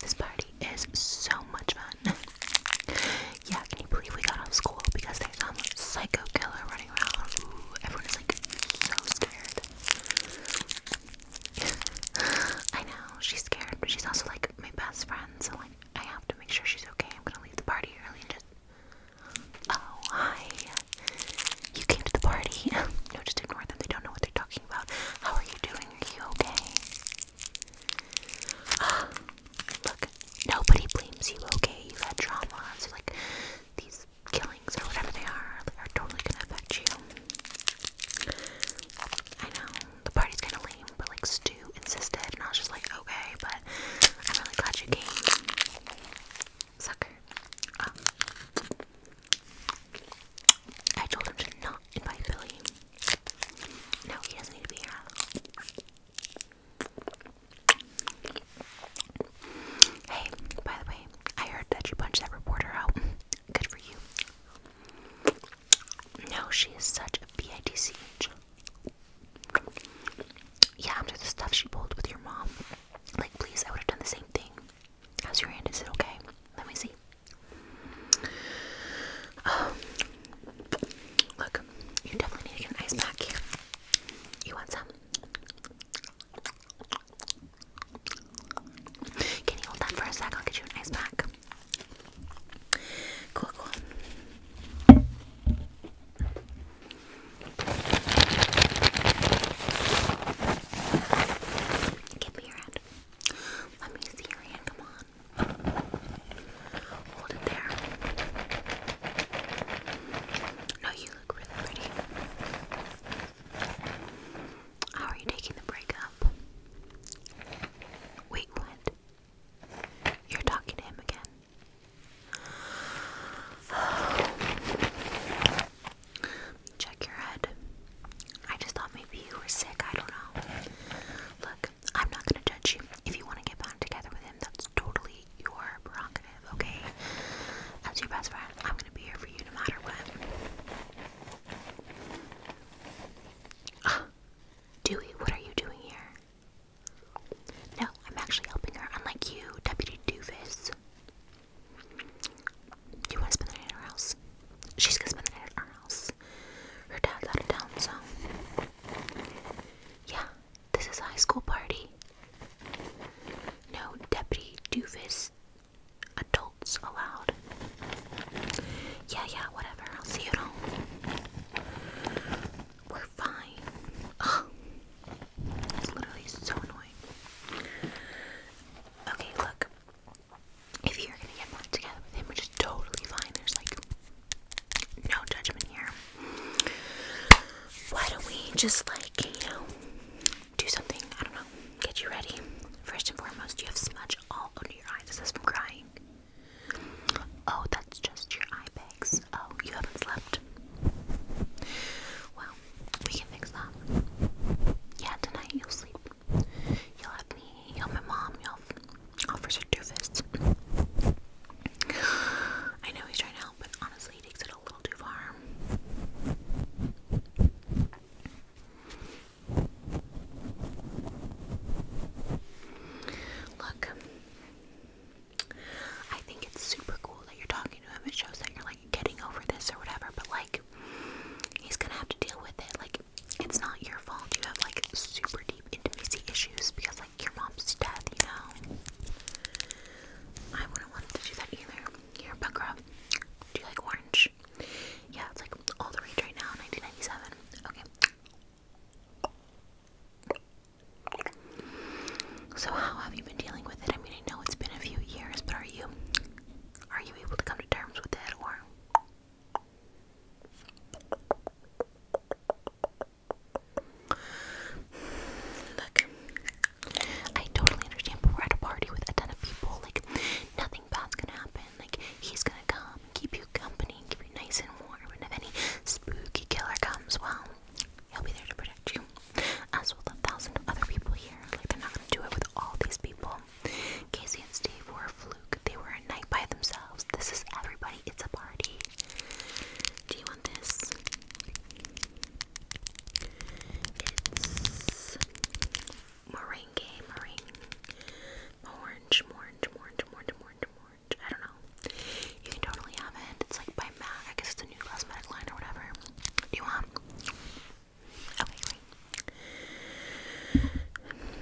This party is so much fun. Yeah, can you believe we got out school because there's some psycho killer running around? everyone is like so scared. I know, she's scared, she's also like my best friend, so like I have to make sure she's okay. I'm gonna leave the party early just. Oh, hi. You came to the party. no, just ignore them. They don't know what they're talking about. How are you doing? Are you okay? look, nobody blames you, okay? you had trauma, like these killings or whatever they are are totally gonna affect you. I know, the party's kinda lame, but like Stu insisted and I was just like, okay, but I'm really glad you came. Sucker. Um, I told him to not invite Billy. Now he doesn't need to be here. Hey, by the way, I heard that you punched that reporter out. Good for you. No, she is such a bitch. Yeah, after the stuff she pulled with your mom. Like, please, I would have done the same thing. How's your hand? Is it okay? Let me see. Um, look, you definitely need an ice pack You want some? Can you hold that for a sec? I'll get you an ice pack. Cool, cool. Give me your hand. Let me see your hand. Come on. Hold it there. No, you look really pretty. How are you taking the breakup? Wait, what? You're talking to him again. Oh. Check your head. I just thought maybe you were sick. I don't know. Look, I'm not gonna judge you. If you want to get back together with him, that's totally your prerogative, okay? As your best friend, I'm gonna be here for you no matter what. Dewey, what are you doing here? No, I'm actually helping her, unlike you, Deputy Doofus. You want to spend the night at her house? She's gonna spend the night at her house. Her dad's out of town, so. Yeah, this is a high school party. No deputy doofus adults allowed. Yeah, yeah, whatever. I'll see you at We're fine. it's literally so annoying. Okay, look if you're gonna get back together with him, which is totally fine, there's like no judgment here. Why don't we just like, you know, do something? I don't know, get you ready. First and foremost, you have smudge all under your eyes. This Is from crying? Oh, that's just your eye bags. Oh, you haven't slept. Wow, we can fix that. Yeah, tonight you'll sleep. You'll have me, you'll have my mom, you'll have Officer Doofus. I know he's trying to help, but honestly, he takes it a little too far. Look, I think it's super cool that you're talking to him. It shows that you're like getting over this or whatever, but like, he's gonna have to deal with it. Like it's not your fault. You have like super deep intimacy issues because like your mom's death, you know. I wouldn't want to do that either. Here, pucker up. Do you like orange? Yeah, it's like all the rage right now, 1997. Okay. So how have you been dealing with it? I mean, I know it's been a few years, but are you are you able to come to terms with that or? Look, I totally understand, but we're at a party with a ton of people. Like, nothing bad's gonna happen. Like, he's gonna come keep you company keep you nice and warm. And if any spooky killer comes, well, he'll be there to protect you as will a thousand other people here. Like, they're not gonna do it with all these people. Casey and Steve were a fluke. They were a night by themselves. This is everybody. It's a party. Do you want this? It's meringue, meringue, orange, orange, orange, orange, orange, orange. I don't know. You can totally have it. It's like by MAC. I guess it's a new cosmetic line or whatever. Do you want?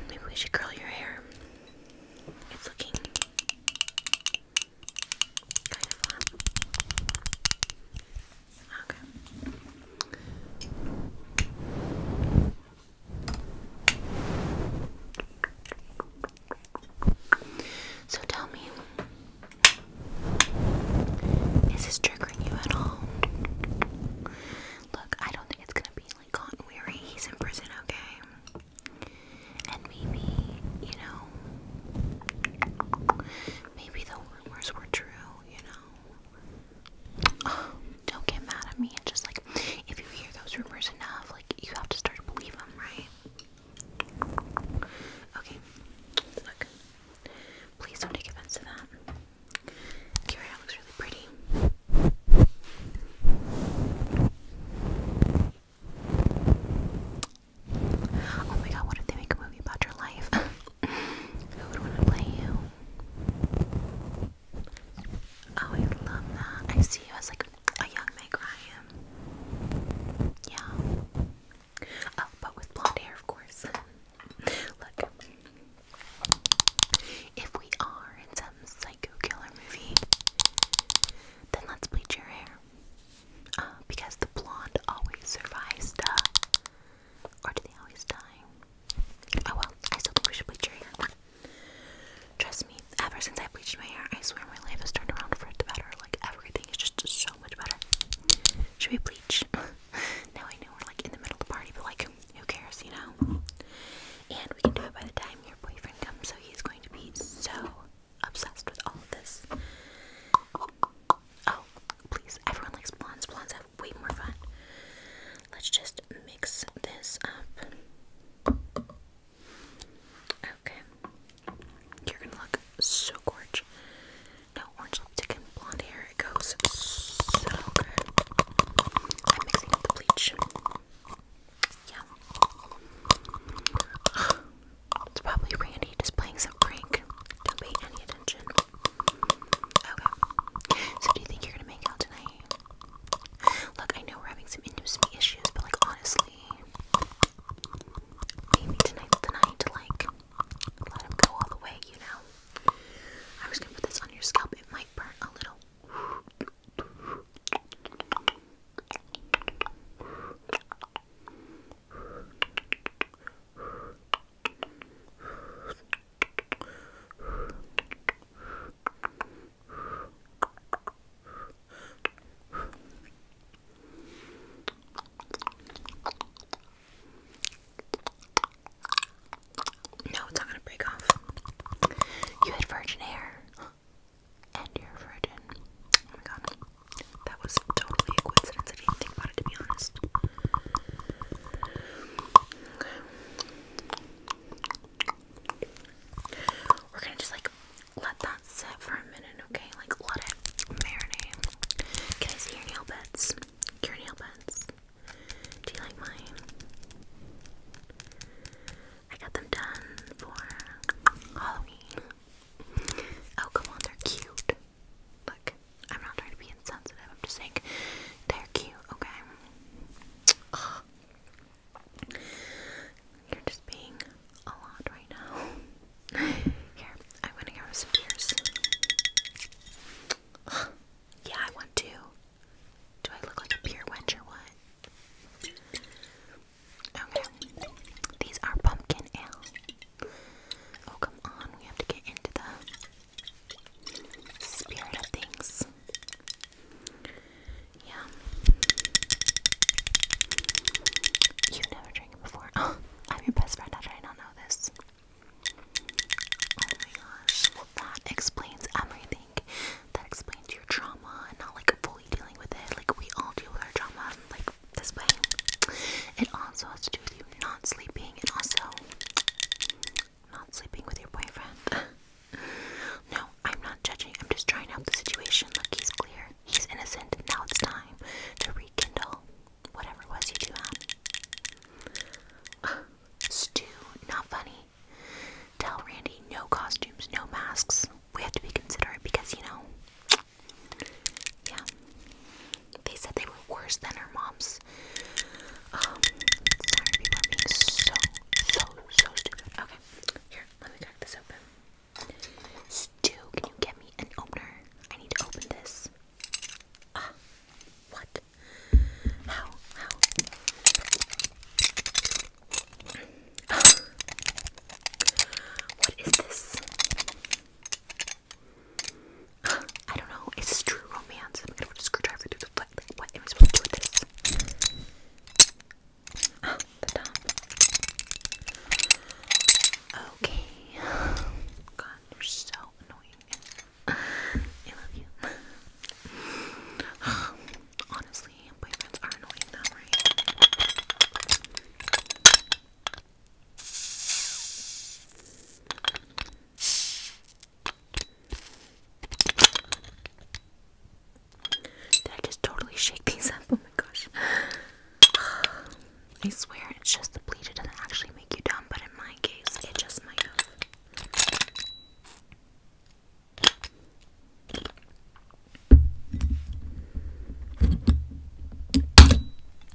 Maybe we should curl your hair. It's looking kind of fun. Okay. So tell me, is this triggering you at all? Look, I don't think it's gonna be like Cotton He's in prison, okay? And maybe, you know, maybe the rumors were true, you know? don't get mad at me. It's just like, if you hear those rumors enough, like, you have to start to believe them, right? Okay, look. Please don't take offense to that. Your looks really pretty. Oh my god, what if they make a movie about your life? Who would want to play you? Oh, I love that. I see you as like a young Meg Yeah. Oh, but with blonde hair, of course. Look, if we are in some psycho killer movie, then let's bleach your hair. Uh, because the blonde always survives, duh. Or do they always die? Oh well, I still think we should bleach your hair. Trust me, ever since I bleached my hair, I swear my life has turned around for the better. Like, everything is just so much better. Should we bleach? now I know we're like in the middle of the party, but like who cares, you know? And we can do it by the time your boyfriend comes, so he's going to be so obsessed with all of this. Oh, please, everyone likes blondes. Blondes have way more fun. Let's just mix this up. Okay. You're gonna look so gorgeous. No orange lipstick and blonde hair. It goes so good. I'm mixing up the bleach. Yeah. It's probably Randy just playing some prank. Don't pay any attention. Okay. So do you think you're gonna make out tonight? Look, I know we're having some intimacy issues, but like honestly, maybe tonight's the night like let them go all the way, you know. i was gonna put this on your scalp, it might burn a little. No, it's not gonna break off. You had virgin hair. And you're virgin. Oh my god. That was totally a coincidence. I did think about it to be honest. We're gonna just like let that that set for a minute, okay? Like, let it marinate. Can I see your nail beds? Your nail beds. Do you like mine? I got them done for Halloween. Oh, come on, they're cute. Look, I'm not trying to be insensitive, I'm just saying they're cute, okay? You're just being a lot right now. Here, I'm gonna go with some tears. Yeah, I want to. Do I look like a beer wench or what? Okay. These are pumpkin ale. Oh, come on. We have to get into the spirit of things. Yeah. you never drank before. I'm your best friend after I not know this. Oh my gosh. Well, that explains everything. That explains your trauma and not like fully dealing with it. Like, we all deal with our trauma like this way. It also has to do with you not sleeping and also not sleeping with your boyfriend. no, I'm not judging. I'm just trying to help the situation. Look, he's clear. He's innocent. Now it's time to rekindle whatever it was you two had. not funny. Tell Randy no costumes, no masks. We have to be considerate because, you know, yeah. They said they were worse than our mom's. Um, sorry, people being so, so, so stupid. Okay, here, let me crack this open. Stew, can you get me an opener? I need to open this. Ah, what? How? How? what is this? I don't know. Is true romance? I'm gonna put a screwdriver through the foot. Like, what am I supposed to do with this? Ah, the top. God, you're so annoying. I love you. Honestly, boyfriends are annoying though, right? Did I just totally shake these up? Oh my gosh. I swear it's just the bleach. It doesn't actually make you dumb, but in my case, it just might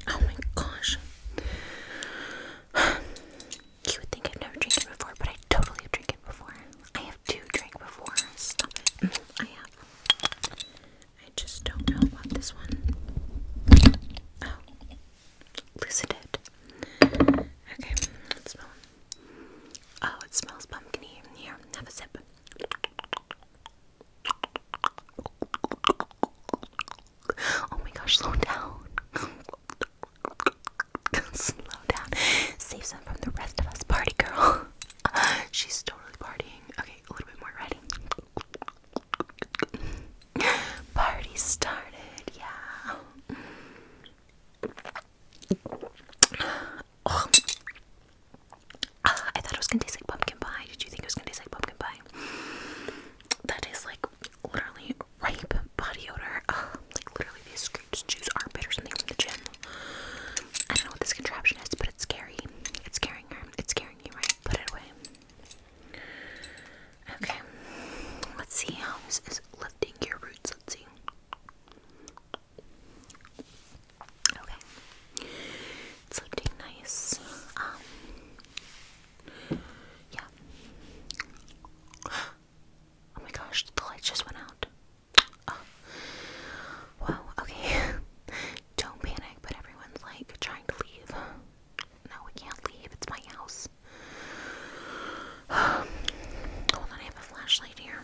Oh my gosh. You would think I've never drank it before, but I totally have it before. I have two drank before. Stop it. Mm, I have. I just don't know about this one. Oh, Lucidate. Okay, let's smell. Oh, it smells pumpkin here. have a sip. Oh my gosh, slow down. slow down. Save some from the rest of us, party girl. She's totally partying. Okay, a little bit more ready. Party started, yeah. Oh. Ah, I thought it was gonna taste like pumpkin pie. Did you think it was gonna taste like pumpkin pie? That is like literally ripe body odor. like literally, these scraped juice armpit or something from the gym. I don't know what this contraption is, but it's scary. It's scaring her. It's carrying you, right? Put it away. Okay. Let's see how this is lifting your roots. Let's see. Okay. It's lifting nice. Um. Yeah. Oh my gosh, the light just went out. Oh. Whoa, okay. Don't panic, but everyone's like trying to leave. No, we can't leave. It's my house. Hold on, I have a flashlight here.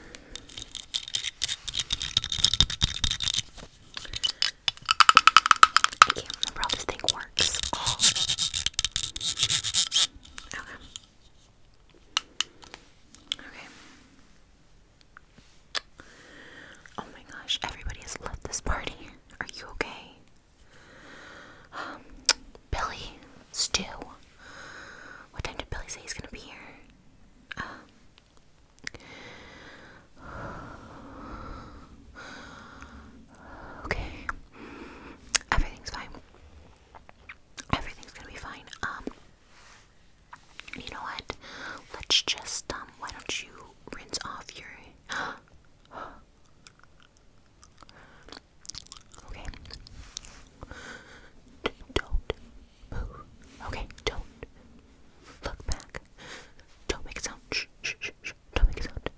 I can't remember how this thing works. Oh. Okay. Okay. Oh my gosh, everybody has left this party. Are you okay? Um, Billy, Stew? What time did Billy say he's gonna be here? Um, okay, everything's fine. Everything's gonna be fine. Um, you know what? Let's just um, Why don't you rinse off your? okay. don't move. Okay. Don't look back. Don't make a sound. shh, shh, shh. Don't make a sound.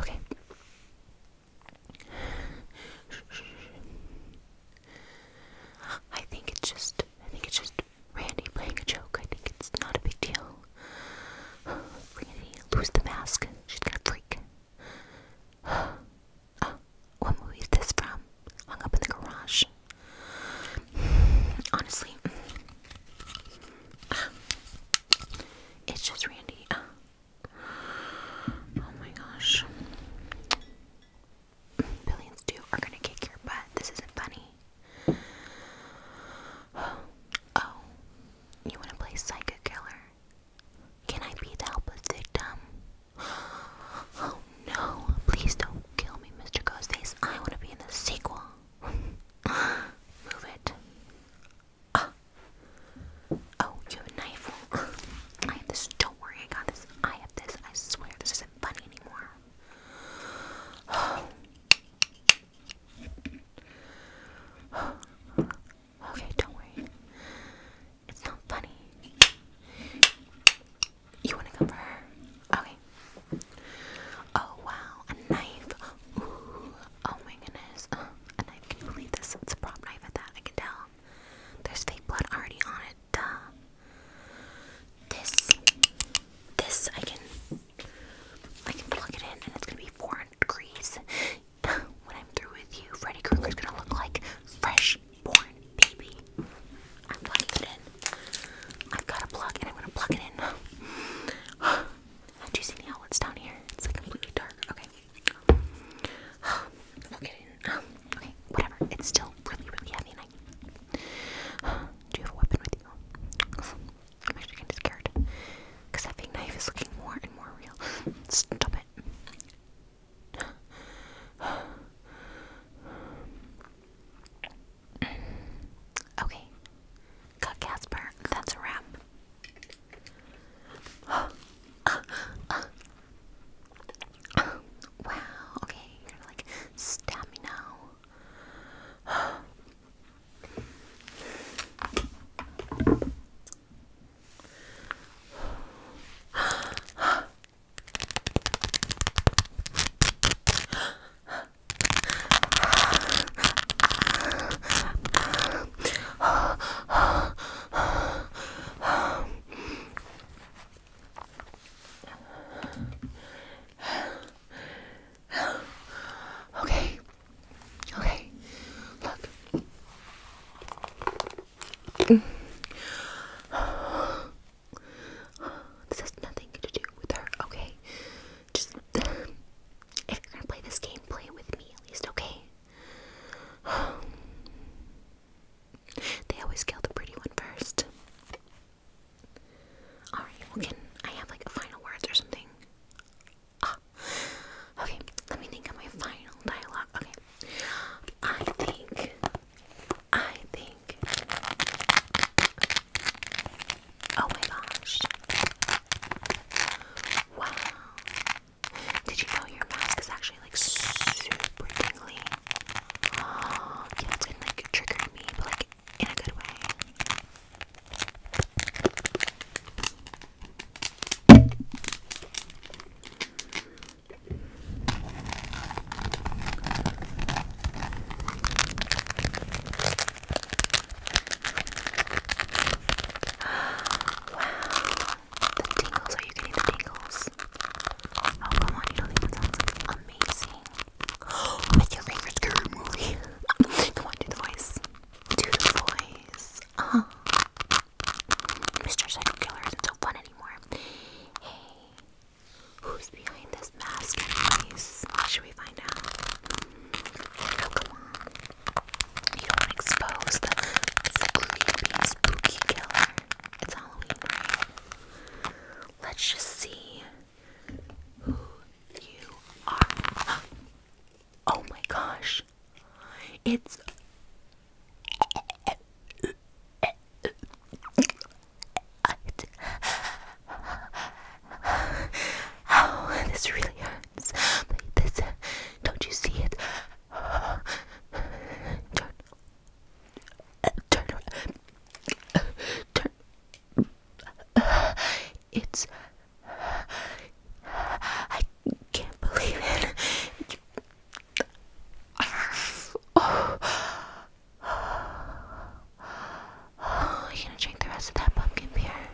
Okay. I think it's just I think it's just Randy playing a joke. I think it's not a big deal. Randy, lose the mask. She's gonna freak. Uh, what movie is this from? Hung up in the garage. Honestly, it's just Randy. Uh, Oh my gosh. Billions too are gonna kick your butt. This isn't funny. Oh, you wanna play Psycho Killer? Can I be the helpless victim? Oh no, please don't kill me, Mr. Ghostface. I wanna be in the sequel. Move it. Ah, Oh, you have a knife? I have this. Don't worry, I got this. I have this. I swear, this isn't funny anymore. okay, don't worry. It's not funny. You want to go for her? Okay. Oh, wow, a knife. oh my goodness. Uh, a can believe this? It's a prop knife at that, I can tell. There's fake blood already on it. Duh. This, this I can, I can plug it in, and it's gonna be 400 degrees. when I'm through with you, Freddy Krueger's gonna look like fresh born baby. I'm plugging it in. I've got a plug, and I'm gonna plug it in. How you see the outlets down here? It's like completely dark. Okay. Um, okay, whatever. It's still really, really heavy. And Do you have a weapon with you? I'm actually kind of scared. Because that big knife is looking more and more real. Stop it. okay. Cut Casper. That's a wrap wow, okay, you're like stab me now. Okay. Okay. Look. This has nothing to do with her, okay? Just if you're gonna play this game, play with me at least, okay? they always kill the pretty one first. Alright, well, can I have like final words or something? Ah. Okay, let me think of my final dialogue. Okay. I think. I think. Oh my gosh. Wow. Did you know your mask is actually like super tingly? yeah, it's gonna like trigger me, but like in a good way. wow. The tingles, are you getting the tingles? Oh, come on, you don't even sound sounds amazing? With your fingers, good movie. do the voice. Do the voice. Uh -huh. Mr. Psycho Killer isn't so fun anymore. Hey, who's behind this mask, anyways? Should we find out? Oh, come on. You don't expose the creepy, spooky killer. It's Halloween, Let's just see who you are. Oh my gosh. It's. Oh, this really hurts don't you see it? Turn, turn, turn. It's. I can't believe it. Oh. oh, you gonna drink the rest of that pumpkin beer?